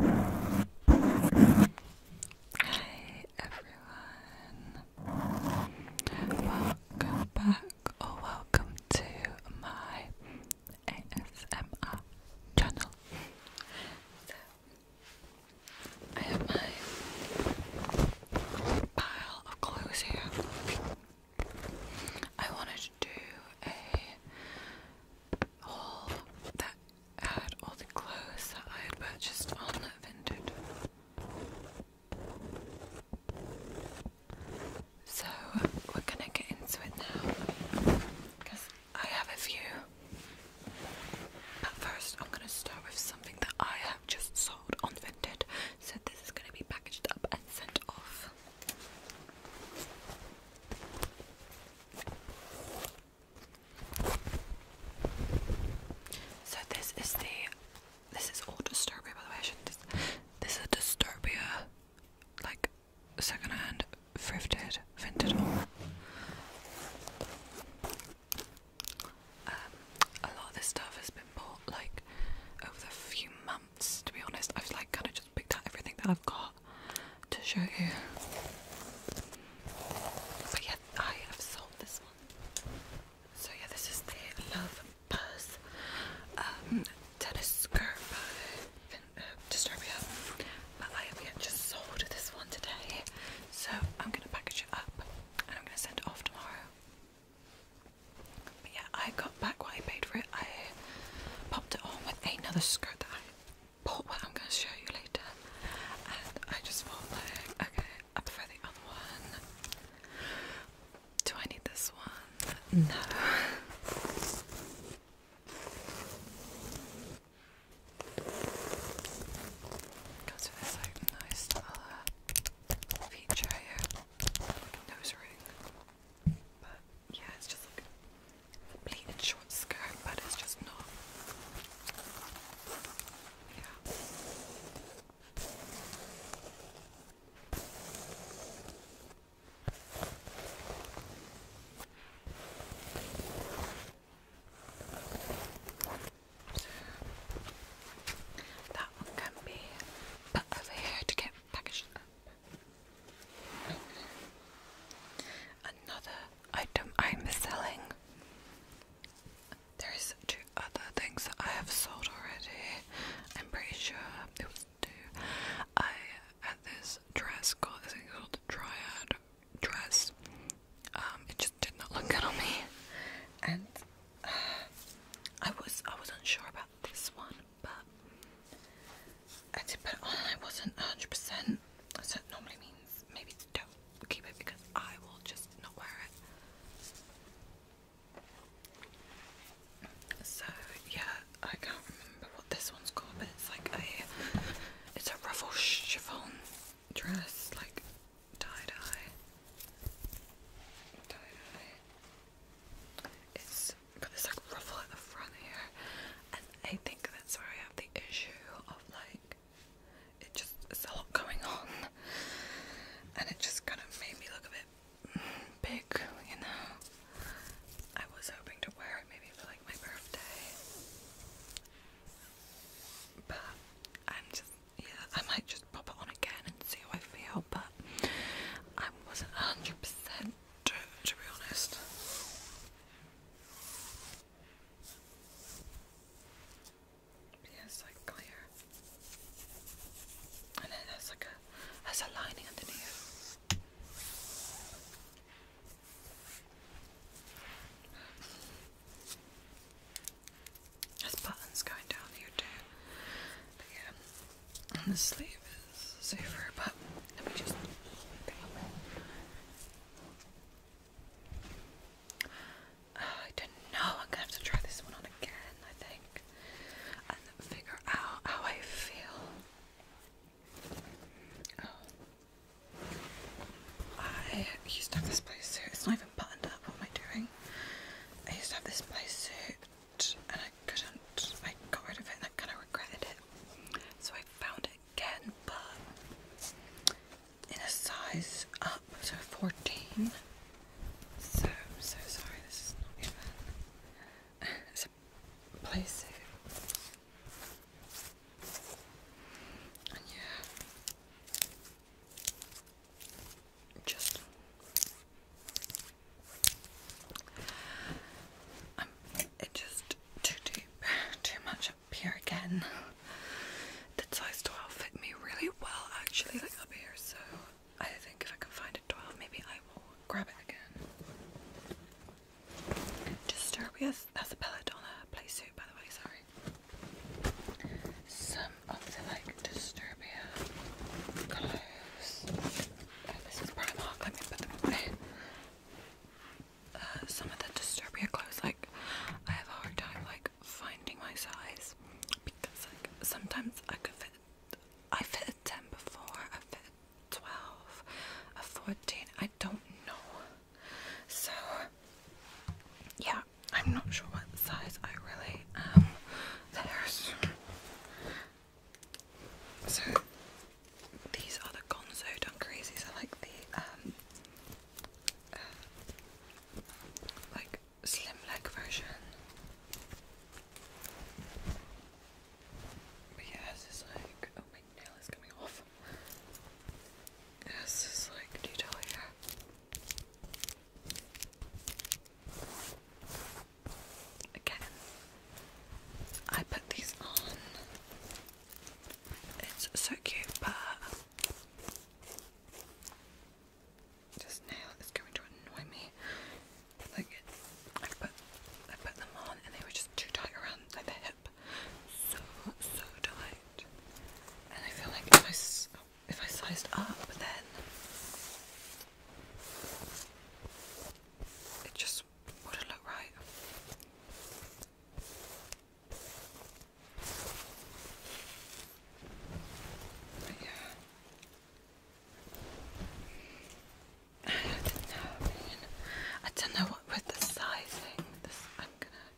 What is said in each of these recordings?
Hey everyone, welcome back or oh, welcome to my ASMR channel. So, I have my pile of clothes here. I wanted to do a all that had all the clothes that I had purchased on Vinted. So we're gonna get into it now because I have a few. But first, I'm gonna start with something that I have just sold on Vinted. So this is gonna be packaged up and sent off. So this is the this is all Disturbia by the way. this is a Disturbia like second hand thrifted vintage haul. Um, a lot of this stuff has been bought like over the few months to be honest. I've like kind of just picked out everything that I've got to show you. But yeah, I have sold this one. So yeah, this is the Love Buzz um, tennis skirt by uh, Disturbia. But I have just sold this one today. So I'm gonna package it up and I'm gonna send it off tomorrow. But yeah, I got back what I paid for it, I popped it on with another skirt that I bought, what I'm going to show you later. And I just thought, like, okay, I prefer the other one. Do I need this one? No. Got to like nice little uh, feature nose ring, but yeah, it's just like a pleated short skirt, but it's just not. Yeah. that one can be put over here to get packaged up. Another item I'm selling. There's two other things that I have sold already. I'm pretty sure it was two. I had this dress called, I called Triad dress. Um, it just did not look good on me. And uh, I was I was unsure about this one but I did put on I wasn't 100%, so normally means maybe don't keep it because I will just not wear it. So yeah, I can't remember what this one's called, but it's like a it's a ruffle chiffon dress, like tie dye, it's got this like ruffle at the front here, and I think that's where I have the issue of like it just it's a lot going on, and it just kind of made me look a bit big, you know. I was hoping to wear it maybe for like my birthday, but I'm just yeah I might just pop it on again and see how I feel, but I wasn't hundred percent to, be honest. Yeah, like clear. And then there's like a there's a lining underneath. There's buttons going down here too. And the sleeve is safer, but let me just. Ah, I don't know. I'm gonna have to try this one on again, I think, and figure out how I feel. Oh. I used to have this place suit. It's not even buttoned up. What am I doing? I used to have this place suit and I couldn't, I got rid of it and I kind of regretted it. So I found it again, but in a size up, to 14. So, so sorry, this is not even, it's a place and yeah, just um, it just too deep, too much up here again. Did size 12 fit me really well actually like up here so I think if I can find a 12 maybe I will grab it again. Disturbia, that's a pellet on play suit by the way, sorry up oh, to like Disturbia clothes. this is Primark, let me put them away. Uh, some of the Disturbia clothes, like, I have a hard time like finding my size because like sometimes I could fit, I fit a 10 before, I fit 12, a 14, I don't know. So, yeah, I'm not sure what the size I really am. There's. So, these are the Gonzo Done I like the, um, uh, like, slim leg version. But yeah, this like, oh my nail is coming off. Yes, yeah, like, do here? Again, I put these on. It's so cute, but this nail is going to annoy me. Like I put, I put them on, and they were just too tight around like the hip, so so tight. And I feel like if I, if I sized up, then it just wouldn't look right. yeah. I don't know, I don't know what with the sizing. I'm gonna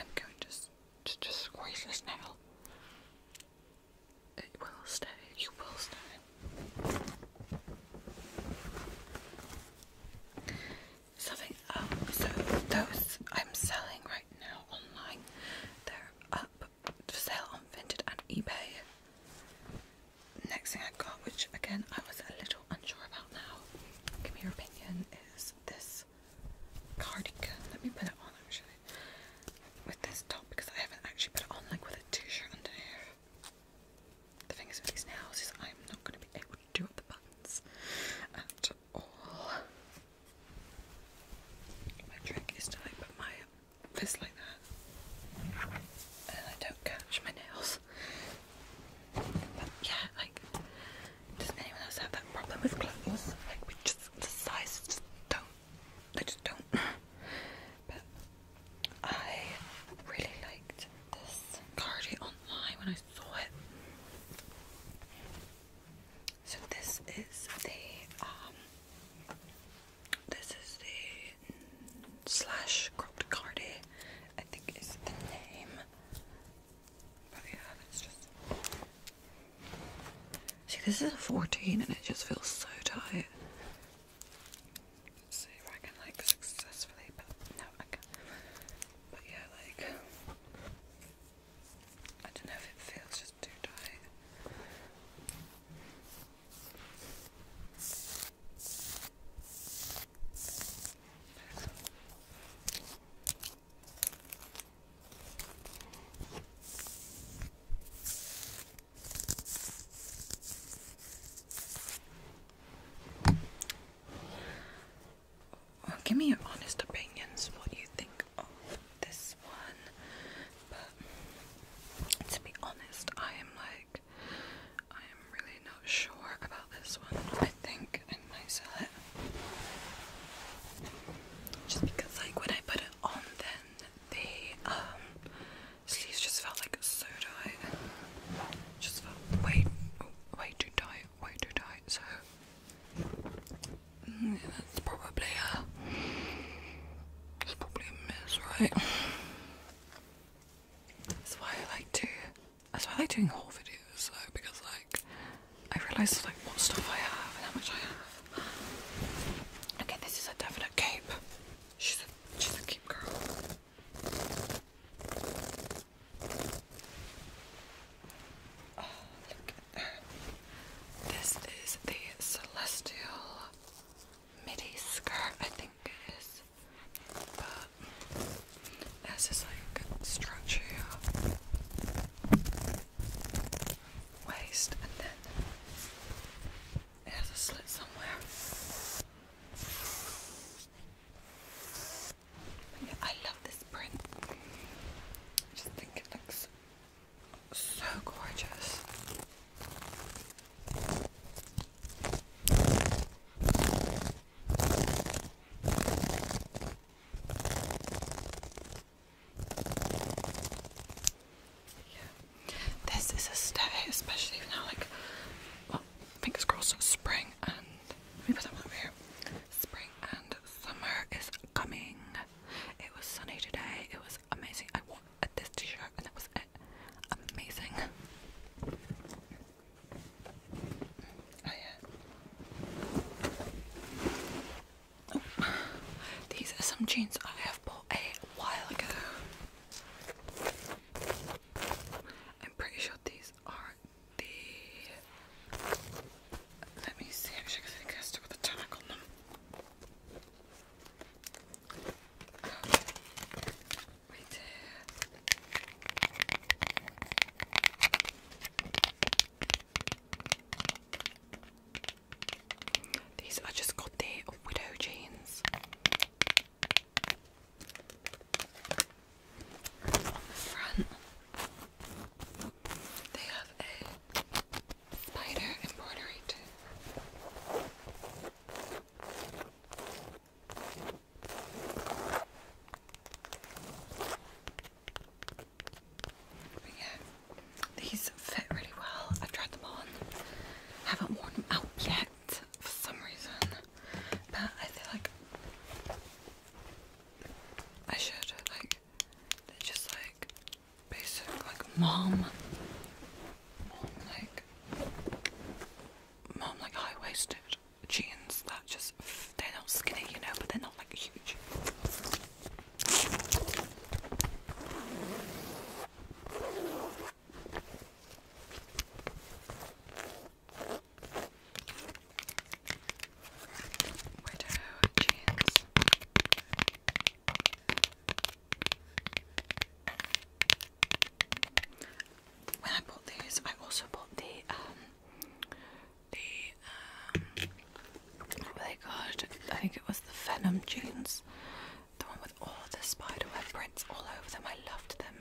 I'm going to just, squeeze this nail. It will stay. You will stay. Something. Um. So those I'm selling right now online. They're up for sale on Vinted and eBay. Next thing I got, which again I was a little unsure about now. Give me your opinion. Is this? cardigan. Let me put it on actually with this top because I haven't actually put it on like with a t-shirt under here. The thing is with these nails is I'm not going to be able to do up the buttons at all. My trick is to like put my fist like that and I don't catch my nails. But yeah, like does anyone else have that problem with clothes? Like we just the sizes don't they just don't but I really liked this cardi online when I saw it. So this is the um, this is the slash cropped cardi I think is the name. See, this is a 14 and it just feels so tight. see if I can, like, successfully. But no, I can. But yeah, like. I don't know if it feels just too tight give me your honest opinions, what you think of this one. But to be honest, I am like, I am really not sure about this one. I think and myself just because like when I put it on then the um sleeves just felt like so tight and just felt way way too tight way too tight so mm, yeah, that's probably a uh, it's probably a miss right that's why I like to that's why I like doing haul videos though, because like I realise like what stuff I have and how much I have. Okay, this is a definite cape. She's a she's a cape girl. Oh, this is the Celestial midi skirt, I think it is. There's this like structure here. Waist and then it has a slit somewhere. I love this print. I just think it looks so gorgeous. Yeah. This is a stay, especially now, like, fingers crossed, spring and. Let me put that one over here. Spring and summer is coming. It was sunny today, it was amazing. I wore this t shirt and that was it. Amazing. Oh, these are some jeans I have bought a while ago. I'm pretty sure these are the. Let me see actually, because I think it with a tag on them. Right here. These I just got the widow jeans. On the front, they have a spider embroidery yeah, these fit really well. I've tried them on. Haven't worn them out yet for some reason. But I feel like I should like they're just like basic like mom like mom like high waisted jeans that just they're not skinny, you know, but they're not like huge. Widow jeans when I bought these, I also bought the um, the um, what were I think it was the Venom jeans, the one with all the spiderweb prints all over them. I loved them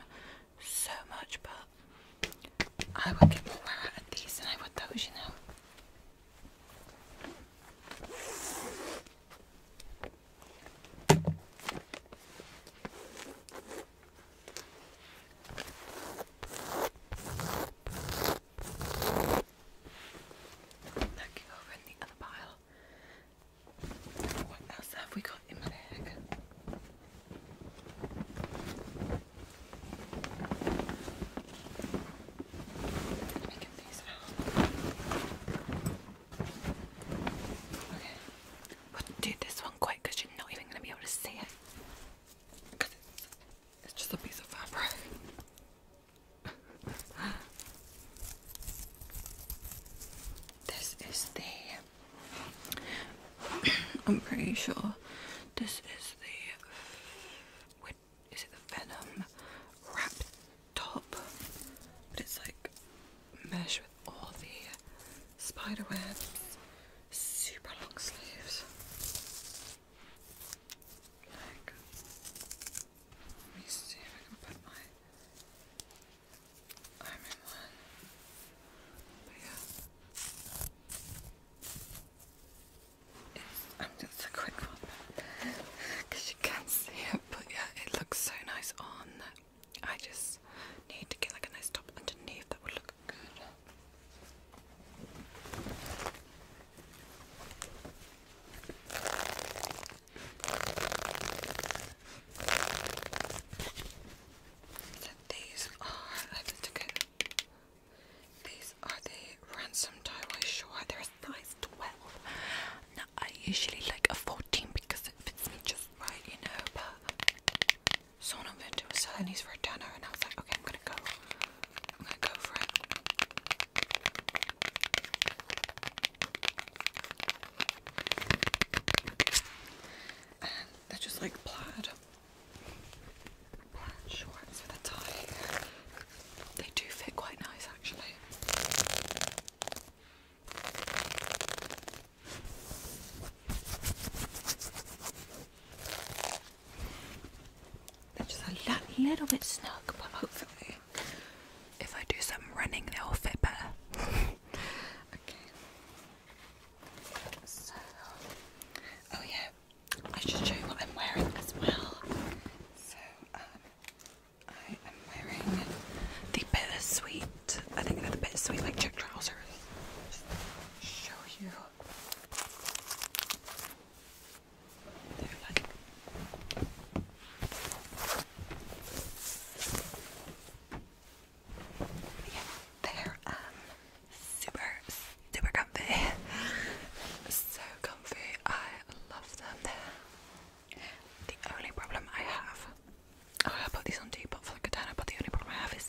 so much, but I would get more out of these than I would those, you know. Looking over the other pile. What else have we got in my bag? Let me get these out. Okay do this one quick because you're not even going to be able to see it. Because it's, just a piece of fabric. this is the. I'm pretty sure this is the. is it the Venom wrap top? But it's like mesh with all the spider webs. Super long sleeves. Like, let me see if I can put my arm in one. But yeah, it's, just a quick one because you can't see it, but yeah, it looks so nice on. I just need to get like a nice top underneath that would look good. these are let's take it. These are the ransom tie-dye They're size twelve. Now I usually like a fourteen because it fits me just right, you know, but someone on Vinted was selling these for a and I was like, okay, I'm gonna go. I'm gonna go for it. they're just like plaid. Plaid shorts with a tie. They do fit quite nice actually. They're just a little bit snug, but hopefully, if I do some running, they'll fit better. okay. So, oh yeah, I should show you what I'm wearing as well. So, um, I am wearing the bittersweet, I think another are bittersweet like check trousers. show you. They're like yeah, they're um super super comfy. So comfy. I love them. The only problem I have, oh, I put these on depot for like a but the only problem I have is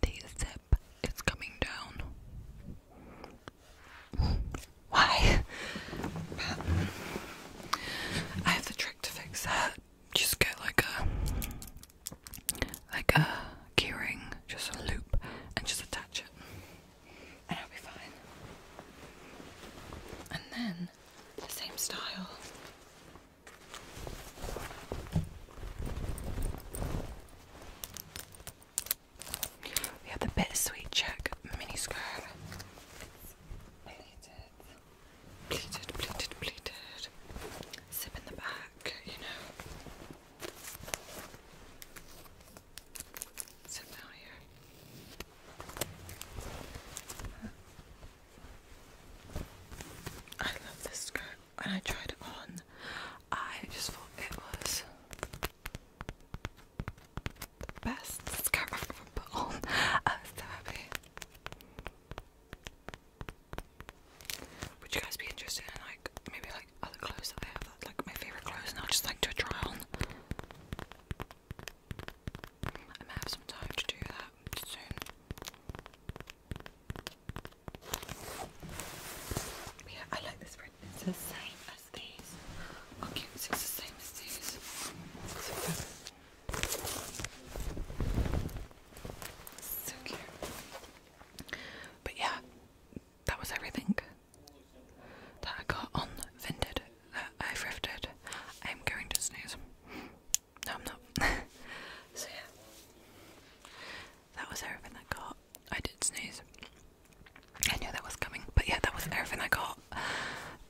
the zip is coming down. Why? I have the trick to fix that. Just get like a like a keyring, just a loop, and just attach it, and I'll be fine. And then the same style. We have the Bittersweet Check mini skirt. It's pleated, pleated, Zip in the back, you know. Zip down here. I love this skirt. and I tried it on, I just thought it was the best skirt I've ever put on. I was so happy. Would you guys be interested in like maybe like other clothes that I have, like my favorite clothes, and I'll just like do a try on? I may have some time to do that soon. yeah, I like this print. It's the same as these. Oh, cute. It's the same as these. So cute. But yeah, that was everything that I got on Vinted that I thrifted. I'm going to snooze. No, I'm not. so yeah, that was everything I got. I did snooze. I knew that was coming, but yeah, that was everything I got.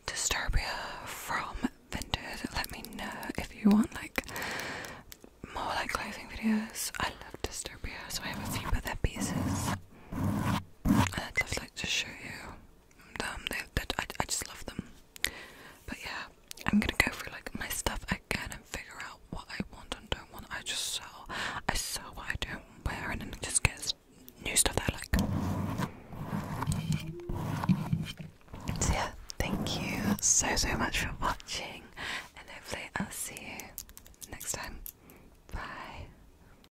Disturbia from Vinted. Let me know if you want like more like clothing videos. I love Disturbia, so I have a few of their pieces, and I'd love like to show you them. They, I, I just love them. But yeah, I'm gonna go through like my stuff again and figure out what I want and don't want. I just sell. I sell what I don't wear and then it just get new stuff I like. So yeah, thank you so so much for watching, and hopefully I'll see you next time. Bye.